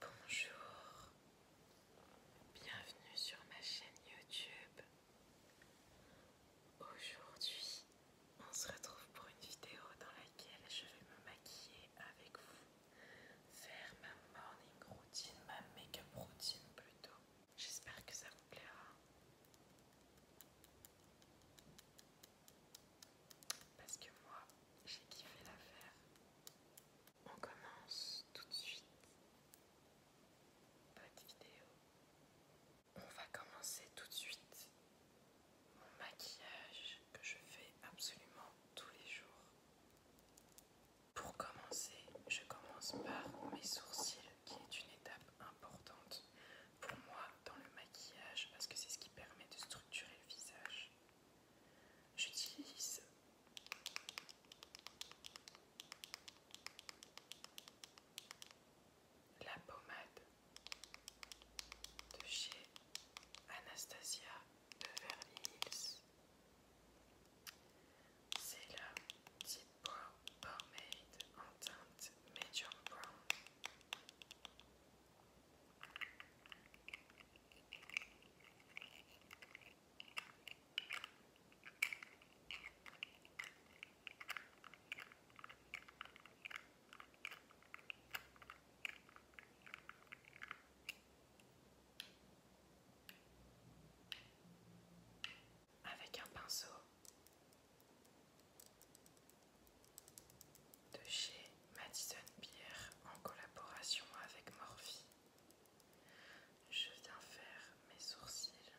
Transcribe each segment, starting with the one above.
Bonjour, bienvenue sur ma chaîne YouTube. Aujourd'hui, on se retrouve pour une vidéo dans laquelle je vais me maquiller avec vous, faire ma morning routine, ma make-up routine plutôt. J'espère que ça vous plaira. Parce que moi, j'ai kiffé l'affaire. On commence tout de suite de vidéo. On va commencer tout de suite mon maquillage que je fais absolument tous les jours. Pour commencer, je commence par mes sourcils qui est une étape importante pour moi dans le maquillage parce que c'est ce qui permet de structurer le visage. J'utilise la pommade de chez Anastasia Beverly Hills. C'est la petite pommade en teinte Medium Brown. Avec un pinceau de Madison Pierre en collaboration avec Morphe Je viens faire mes sourcils.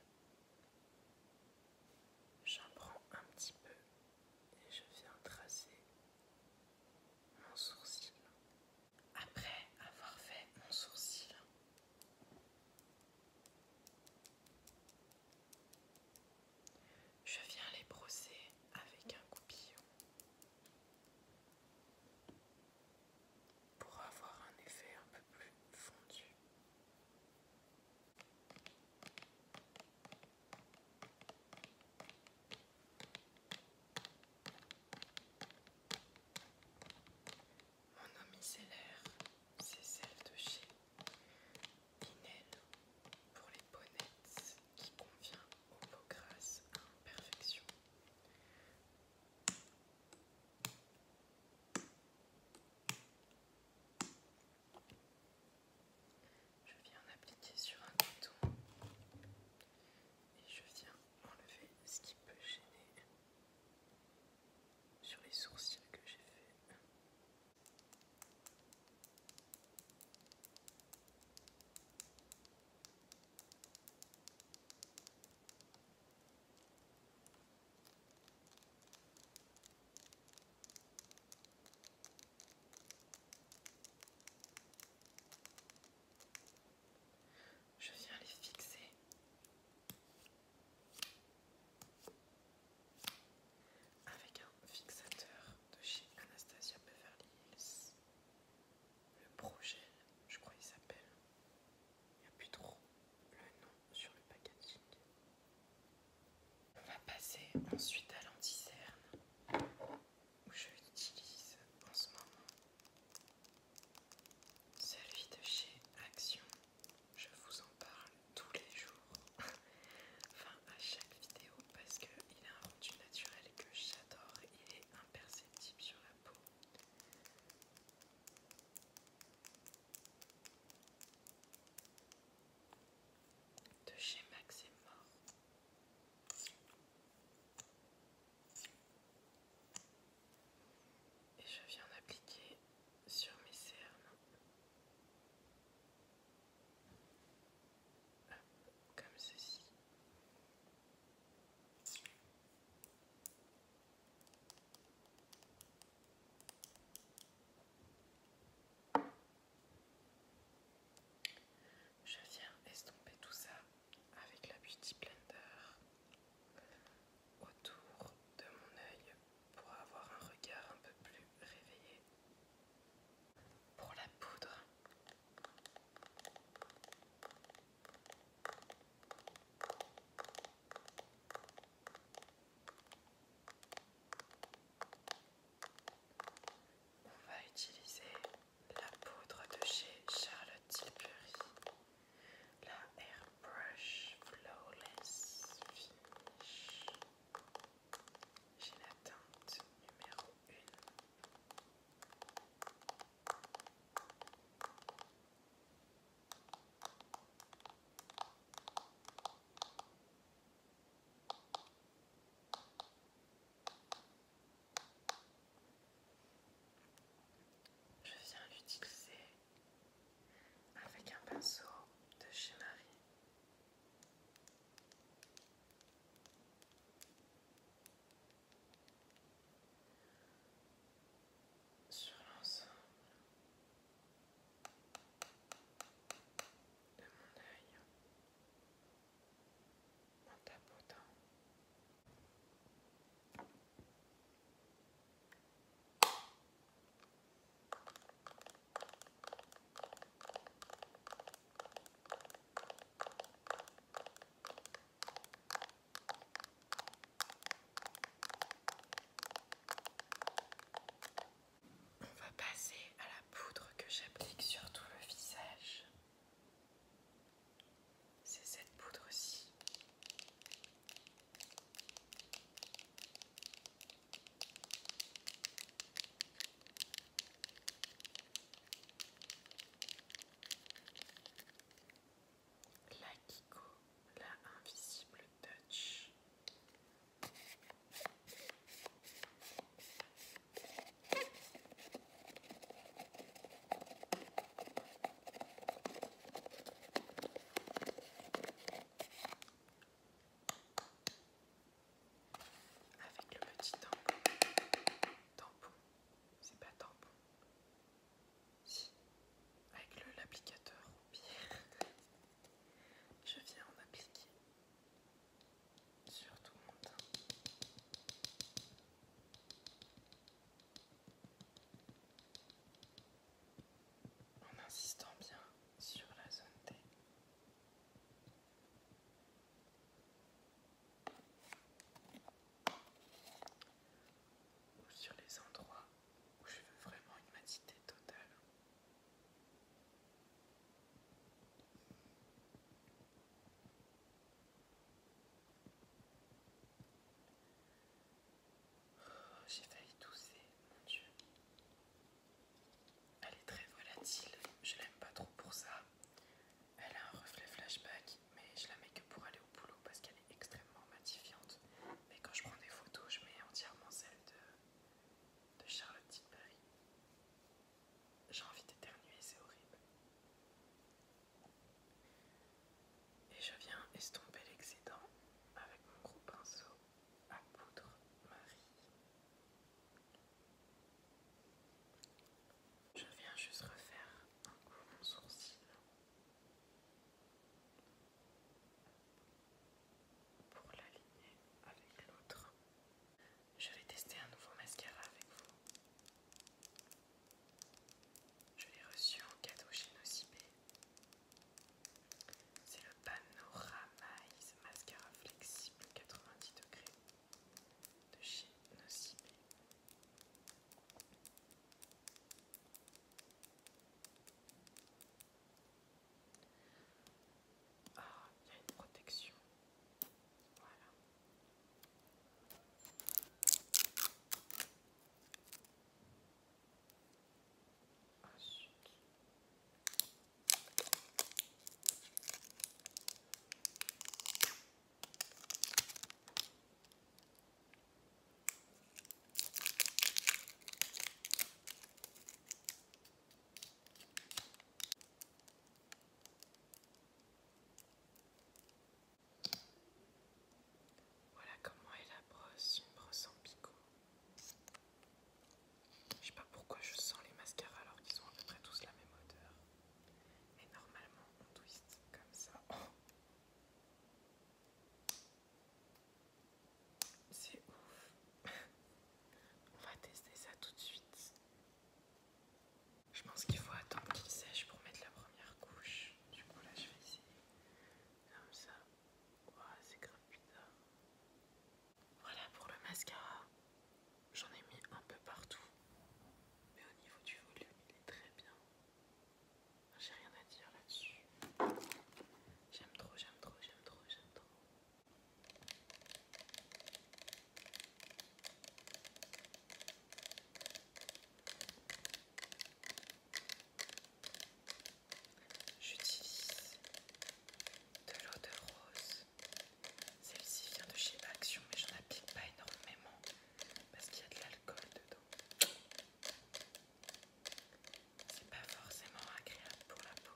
J'en prends un petit peu et je viens tracer mon sourcil. Après avoir fait mon sourcil, je viens les brosser avec un coupillon pour avoir un effet un peu plus fondu. Mon c'est c'est celle de chez Pinel pour les bonnettes qui convient aux peaux grasses à imperfection. Je viens appliquer sur un coton et je viens enlever ce qui peut gêner sur les sourcils que j'ai fait. Je viens les fixer. Avec un fixateur de chez Anastasia Beverly Hills le projet, je crois qu'il s'appelle, il n'y a plus trop le nom sur le packaging. On va passer ensuite à l'anticerne où je l'utilise en ce moment. Celui de chez Action, je vous en parle tous les jours. enfin, à chaque vidéo parce qu'il a un rendu naturel que j'adore, il est imperceptible sur la peau. De chez Max et Mort. Et je viens d'appliquer sur mes cernes comme ceci. Je viens estomper tout ça avec la Beauty Blender autour de mon œil pour avoir un regard un peu plus réveillé pour la poudre. On va utiliser la poudre de chez Charlotte Tilbury, la Airbrush Flawless Finish. J'ai la teinte numéro je viens l'utiliser avec un pinceau de chez Marie sur l'ensemble de mon œil mon tapotant. On va passer à la poudre que j'applique sur tout le visage. C'est cette poudre-ci. La Kiko, la invisible touch avec le petit tampon. Tampon, c'est pas tampon. Si, avec l'applicateur ou pire, je viens en appliquer sur tout mon teint. En insistant bien sur la zone T ou sur les endroits où je veux vraiment une matité totale. Oh, j'ai failli tousser, mon Dieu. Elle est très volatile, je l'aime pas trop pour ça. Elle a un reflet flashback, mais je la mets que pour aller au boulot parce qu'elle est extrêmement matifiante. Mais quand je prends des photos, je mets entièrement celle de, de Charlotte Tilbury. J'ai envie d'éternuer, c'est horrible. Et je viens estomper l'excédent avec mon gros pinceau à poudre Marie je viens juste refaire un coup mon sourcil pour l'aligner avec l'autre. Je vais tester un nouveau mascara avec vous. Je l'ai reçu en cadeau chez Nocibé. C'est le Panoramaise Mascara Flexible 90 degrés de chez ah, il une protection. Voilà. Ah, voilà comment est la brosse, une brosse en picot. Je sais pas pourquoi je sens les mascaras alors qu'ils ont à peu près tous la même odeur. Mais normalement on twist comme ça. C'est ouf. on va tester ça tout de suite. Je pense qu'il faut attendre qu'il sèche pour mettre la première couche. Du coup là je vais essayer. Comme ça. c'est grave voilà pour le mascara. J'en ai mis un peu partout. Mais au niveau du volume, il est très bien. J'ai rien à dire là-dessus. J'aime trop, j'aime trop, j'aime trop, j'aime trop. J'utilise de l'eau de rose celle-ci vient de chez Action, mais j'en applique pas énormément parce qu'il y a de l'alcool dedans. C'est pas forcément agréable pour la peau.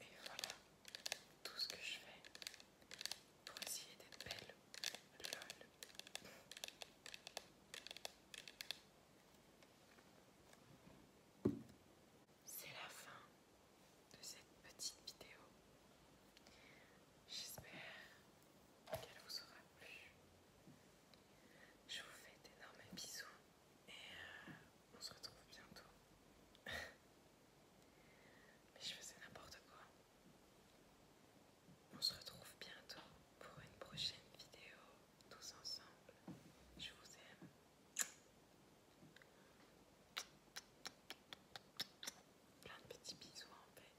Et voilà tout ce que je fais pour essayer d'être belle. Lol. C'est la fin de cette petite vidéo. J'espère qu'elle vous aura plu. Je vous fais d'énormes bisous. Et euh, on se retrouve bientôt. Mais je faisais n'importe quoi. On se retrouve bientôt pour une prochaine vidéo, tous ensemble. Je vous aime. Plein de petits bisous en fait.